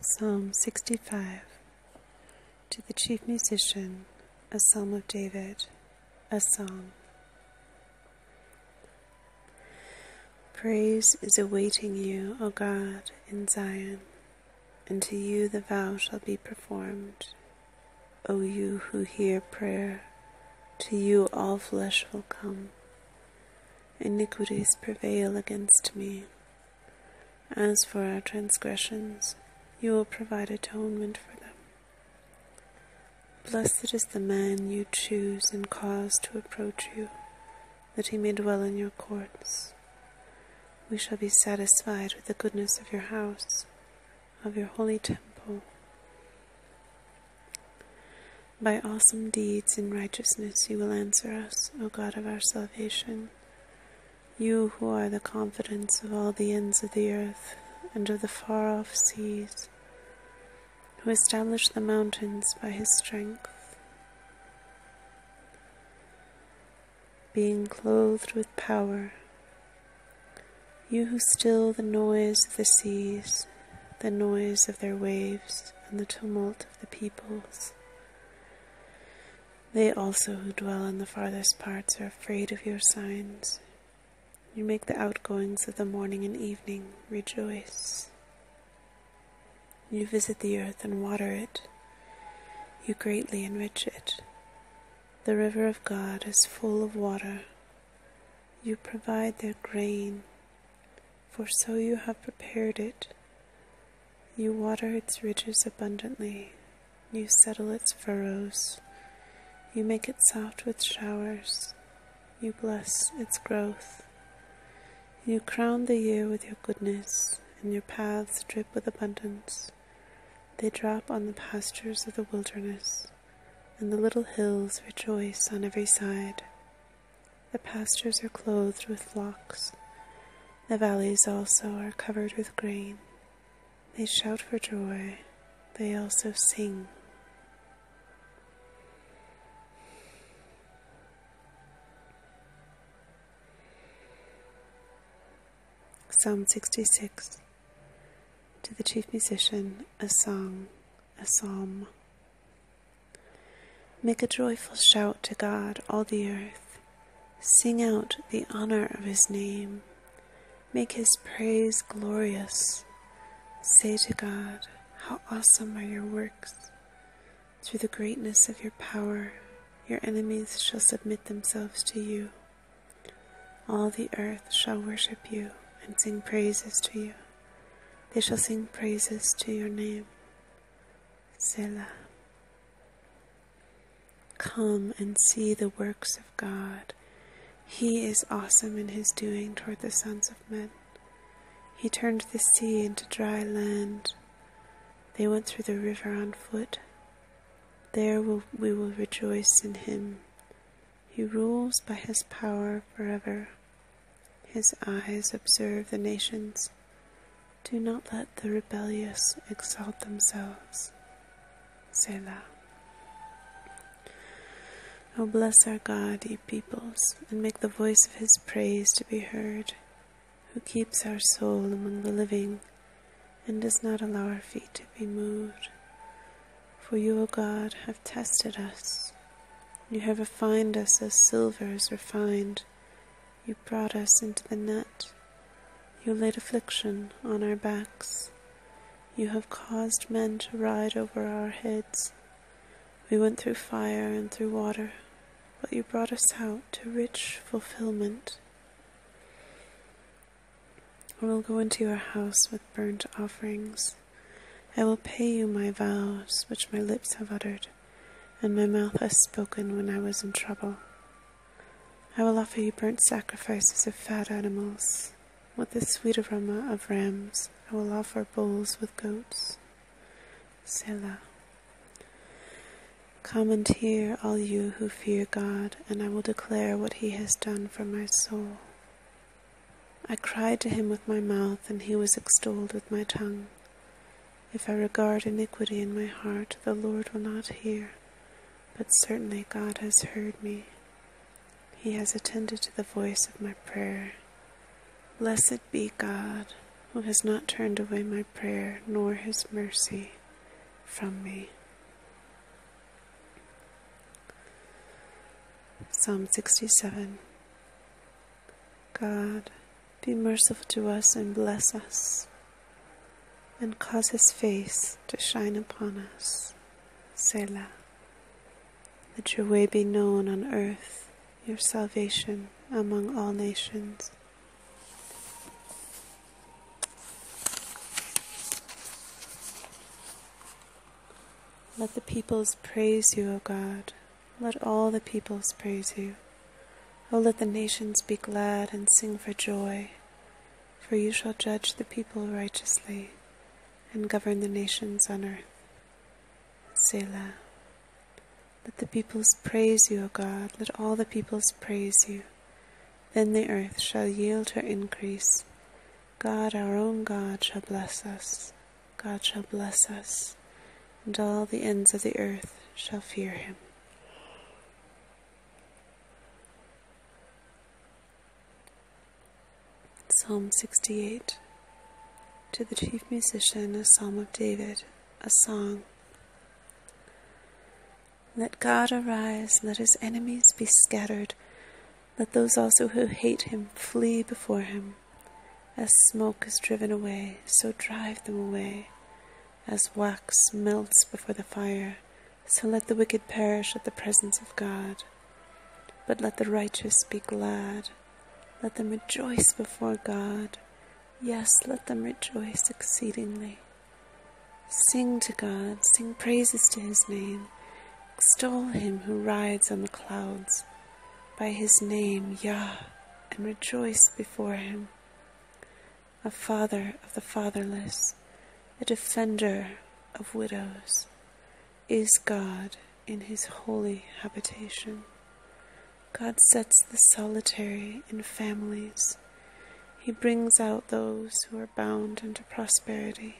Psalm 65 To the chief musician, a psalm of David, a song. Praise is awaiting you, O God, in Zion, and to you the vow shall be performed. O you who hear prayer, to you all flesh will come. Iniquities prevail against me. As for our transgressions, you will provide atonement for them. Blessed is the man you choose and cause to approach you, that he may dwell in your courts. We shall be satisfied with the goodness of your house of your holy temple. By awesome deeds in righteousness, you will answer us, O God of our salvation. You who are the confidence of all the ends of the earth and of the far off seas, who established the mountains by his strength. Being clothed with power, you who still the noise of the seas, the noise of their waves, and the tumult of the peoples. They also who dwell in the farthest parts are afraid of your signs. You make the outgoings of the morning and evening rejoice. You visit the earth and water it. You greatly enrich it. The river of God is full of water you provide their grain, for so you have prepared it. You water its ridges abundantly, you settle its furrows, you make it soft with showers, you bless its growth. You crown the year with your goodness, and your paths drip with abundance. They drop on the pastures of the wilderness and the little hills rejoice on every side. The pastures are clothed with flocks, the valleys also are covered with grain. They shout for joy, they also sing. Psalm 66 to the chief musician, a song, a psalm. Make a joyful shout to God, all the earth. Sing out the honor of his name. Make his praise glorious. Say to God, How awesome are your works! Through the greatness of your power, your enemies shall submit themselves to you. All the earth shall worship you and sing praises to you. They shall sing praises to your name. Selah. Come and see the works of God. He is awesome in his doing toward the sons of men. He turned the sea into dry land. They went through the river on foot. There we will rejoice in him. He rules by his power forever. His eyes observe the nations. Do not let the rebellious exalt themselves. Selah. O bless our God, ye peoples, and make the voice of his praise to be heard, who keeps our soul among the living and does not allow our feet to be moved. For you, O God, have tested us. You have refined us as silver is refined. You brought us into the net. You laid affliction on our backs. You have caused men to ride over our heads. We went through fire and through water, but you brought us out to rich fulfillment. I will go into your house with burnt offerings. I will pay you my vows, which my lips have uttered, and my mouth has spoken when I was in trouble. I will offer you burnt sacrifices of fat animals. With the sweet aroma of rams, I will offer bulls with goats. Selah. Come and hear, all you who fear God, and I will declare what he has done for my soul. I cried to him with my mouth, and he was extolled with my tongue. If I regard iniquity in my heart, the Lord will not hear, but certainly God has heard me. He has attended to the voice of my prayer. Blessed be God, who has not turned away my prayer, nor his mercy from me. Psalm 67 God, be merciful to us and bless us, and cause his face to shine upon us. Selah. Let your way be known on earth, your salvation among all nations. Let the peoples praise you, O God. Let all the peoples praise you. O let the nations be glad and sing for joy, for you shall judge the people righteously and govern the nations on earth. Selah. Let the peoples praise you, O God. Let all the peoples praise you. Then the earth shall yield her increase. God, our own God, shall bless us. God shall bless us, and all the ends of the earth shall fear him. Psalm 68 To the chief musician, a psalm of David, a song. Let God arise, let his enemies be scattered, let those also who hate him flee before him. As smoke is driven away, so drive them away. As wax melts before the fire, so let the wicked perish at the presence of God. But let the righteous be glad, let them rejoice before God. Yes, let them rejoice exceedingly. Sing to God, sing praises to his name, extol him who rides on the clouds, by his name, Yah, and rejoice before him. A father of the fatherless, a defender of widows, is God in his holy habitation. God sets the solitary in families. He brings out those who are bound into prosperity,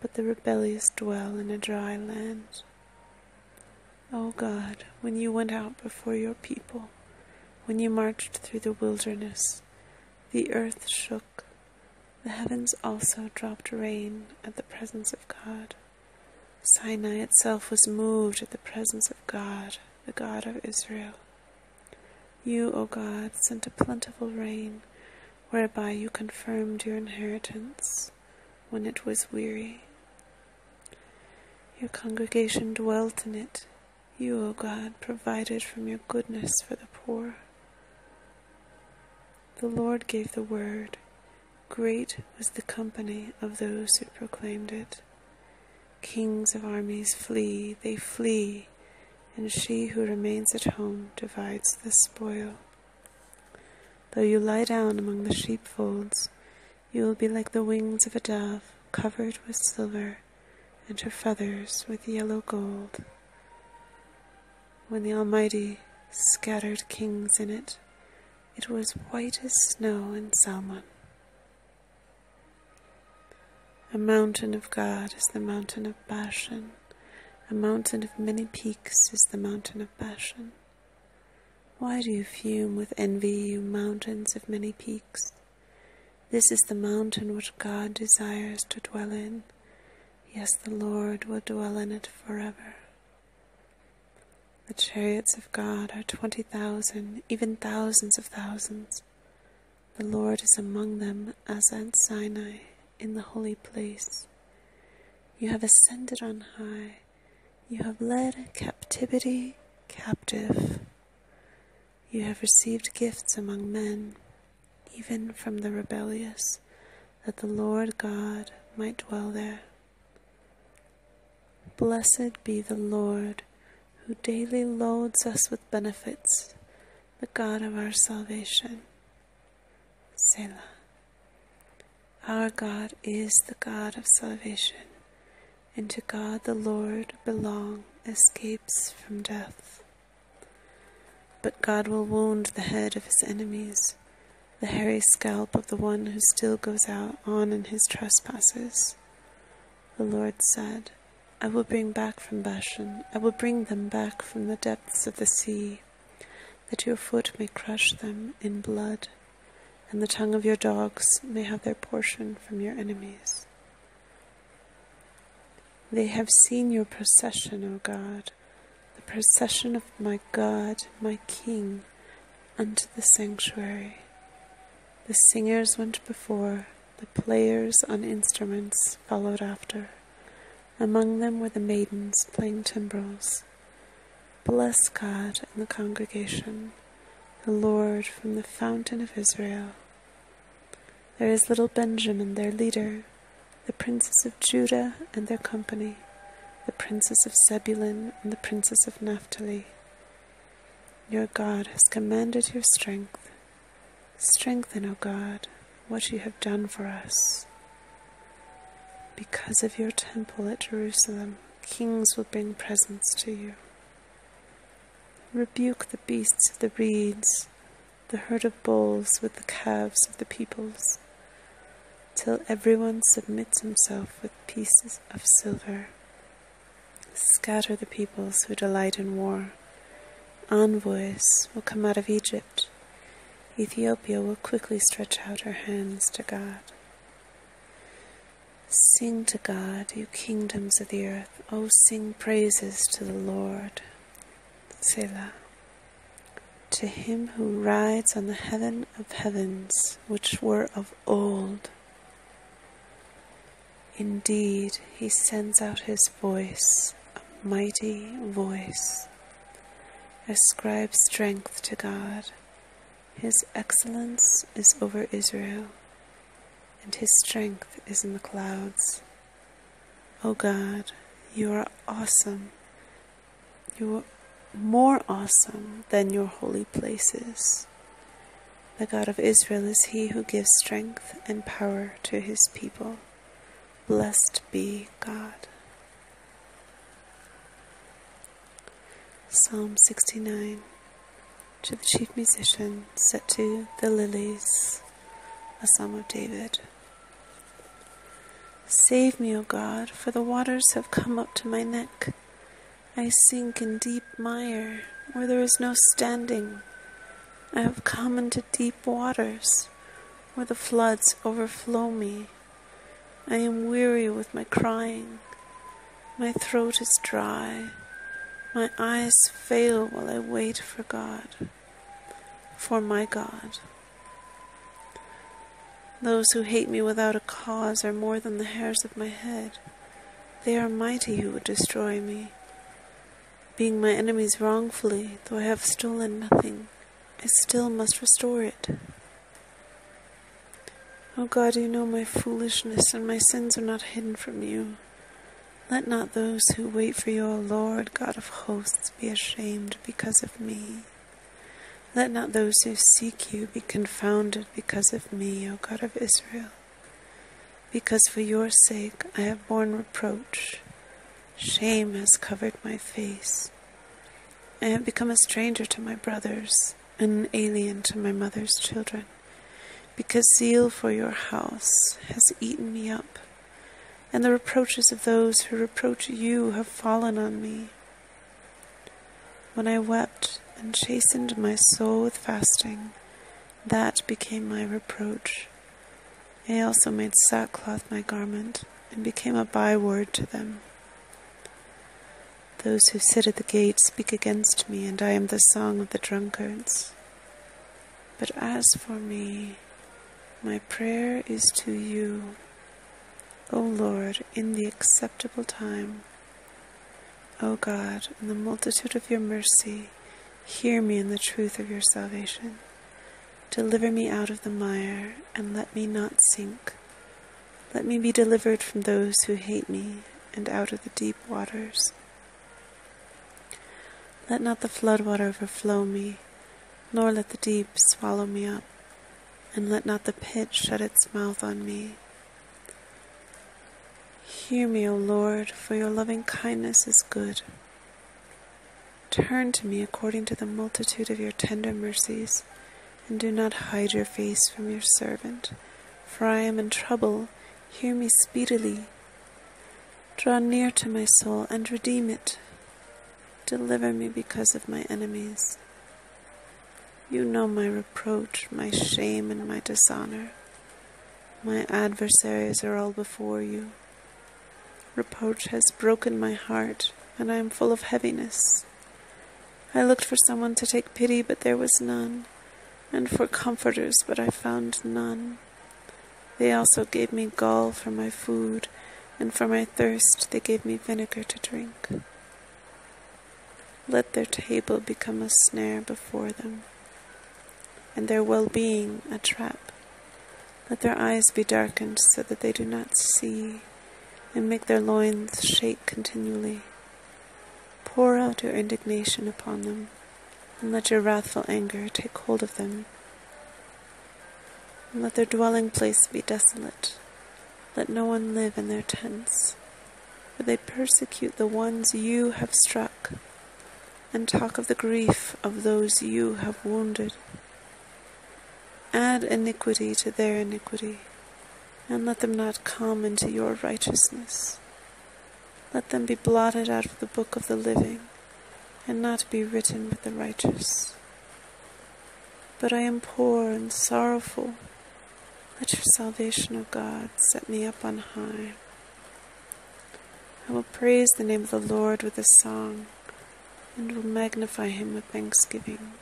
but the rebellious dwell in a dry land. O God, when you went out before your people, when you marched through the wilderness, the earth shook, the heavens also dropped rain at the presence of God. Sinai itself was moved at the presence of God the God of Israel. You, O God, sent a plentiful rain, whereby you confirmed your inheritance when it was weary. Your congregation dwelt in it. You, O God, provided from your goodness for the poor. The Lord gave the word. Great was the company of those who proclaimed it. Kings of armies flee, they flee, and she who remains at home divides the spoil. Though you lie down among the sheepfolds, you will be like the wings of a dove covered with silver, and her feathers with yellow gold. When the Almighty scattered kings in it, it was white as snow in Salmon. A mountain of God is the mountain of Bashan. A mountain of many peaks is the mountain of Bashan. Why do you fume with envy, you mountains of many peaks? This is the mountain which God desires to dwell in. Yes, the Lord will dwell in it forever. The chariots of God are twenty thousand, even thousands of thousands. The Lord is among them as at Sinai in the holy place. You have ascended on high. You have led captivity captive. You have received gifts among men, even from the rebellious, that the Lord God might dwell there. Blessed be the Lord, who daily loads us with benefits, the God of our salvation. Selah. Our God is the God of salvation, and to God the Lord belong escapes from death. But God will wound the head of his enemies, the hairy scalp of the one who still goes out on in his trespasses. The Lord said, I will bring back from Bashan, I will bring them back from the depths of the sea, that your foot may crush them in blood, and the tongue of your dogs may have their portion from your enemies. They have seen your procession, O God, the procession of my God, my King, unto the sanctuary. The singers went before, the players on instruments followed after. Among them were the maidens playing timbrels. Bless God and the congregation, the Lord from the fountain of Israel. There is little Benjamin, their leader, the princes of Judah and their company, the princess of Zebulun and the princess of Naphtali. Your God has commanded your strength. Strengthen, O God, what you have done for us. Because of your temple at Jerusalem, kings will bring presents to you. Rebuke the beasts of the reeds, the herd of bulls with the calves of the peoples till every one submits himself with pieces of silver. Scatter the peoples who delight in war. Envoys will come out of Egypt. Ethiopia will quickly stretch out her hands to God. Sing to God, you kingdoms of the earth. O, oh, sing praises to the Lord. Selah. To him who rides on the heaven of heavens which were of old. Indeed, he sends out his voice, a mighty voice. Ascribe strength to God. His excellence is over Israel, and his strength is in the clouds. O God, you are awesome you are more awesome than your holy places. The God of Israel is he who gives strength and power to his people. Blessed be God. Psalm 69 To the chief musician, set to the lilies, a psalm of David. Save me, O God, for the waters have come up to my neck. I sink in deep mire, where there is no standing. I have come into deep waters, where the floods overflow me. I am weary with my crying. My throat is dry. My eyes fail while I wait for God, for my God. Those who hate me without a cause are more than the hairs of my head. They are mighty who would destroy me. Being my enemies wrongfully, though I have stolen nothing, I still must restore it. O oh God, you know my foolishness, and my sins are not hidden from you. Let not those who wait for you, O Lord, God of hosts, be ashamed because of me. Let not those who seek you be confounded because of me, O God of Israel, because for your sake I have borne reproach. Shame has covered my face. I have become a stranger to my brothers, an alien to my mother's children, because zeal for your house has eaten me up, and the reproaches of those who reproach you have fallen on me. When I wept and chastened my soul with fasting, that became my reproach. I also made sackcloth my garment, and became a byword to them. Those who sit at the gates speak against me, and I am the song of the drunkards. But as for me, my prayer is to you. O Lord, in the acceptable time. O God, in the multitude of your mercy, hear me in the truth of your salvation. Deliver me out of the mire, and let me not sink. Let me be delivered from those who hate me, and out of the deep waters. Let not the flood water overflow me, nor let the deep swallow me up, and let not the pit shut its mouth on me. Hear me, O Lord, for your loving kindness is good. Turn to me according to the multitude of your tender mercies, and do not hide your face from your servant, for I am in trouble. Hear me speedily. Draw near to my soul and redeem it. Deliver me because of my enemies. You know my reproach, my shame, and my dishonor. My adversaries are all before you. Reproach has broken my heart, and I am full of heaviness. I looked for someone to take pity, but there was none, and for comforters, but I found none. They also gave me gall for my food, and for my thirst they gave me vinegar to drink. Let their table become a snare before them, and their well being a trap. Let their eyes be darkened so that they do not see, and make their loins shake continually. Pour out your indignation upon them, and let your wrathful anger take hold of them let their dwelling place be desolate. Let no one live in their tents, for they persecute the ones you have struck, and talk of the grief of those you have wounded. Add iniquity to their iniquity, and let them not come into your righteousness. Let them be blotted out of the book of the living and not be written with the righteous. But I am poor and sorrowful. Let your salvation, O God, set me up on high. I will praise the name of the Lord with a song, and will magnify him with thanksgiving.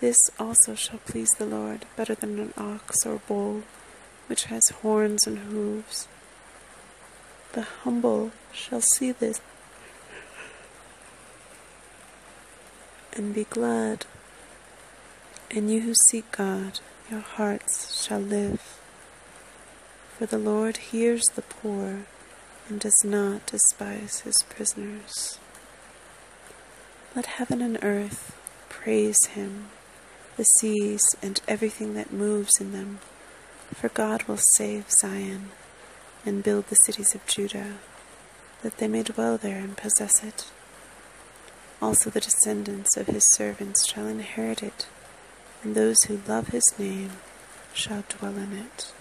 This also shall please the Lord better than an ox or bull, which has horns and hooves, the humble shall see this and be glad. And you who seek God, your hearts shall live. For the Lord hears the poor and does not despise his prisoners. Let heaven and earth praise him, the seas and everything that moves in them. For God will save Zion and build the cities of Judah, that they may dwell there and possess it. Also, the descendants of his servants shall inherit it, and those who love his name shall dwell in it.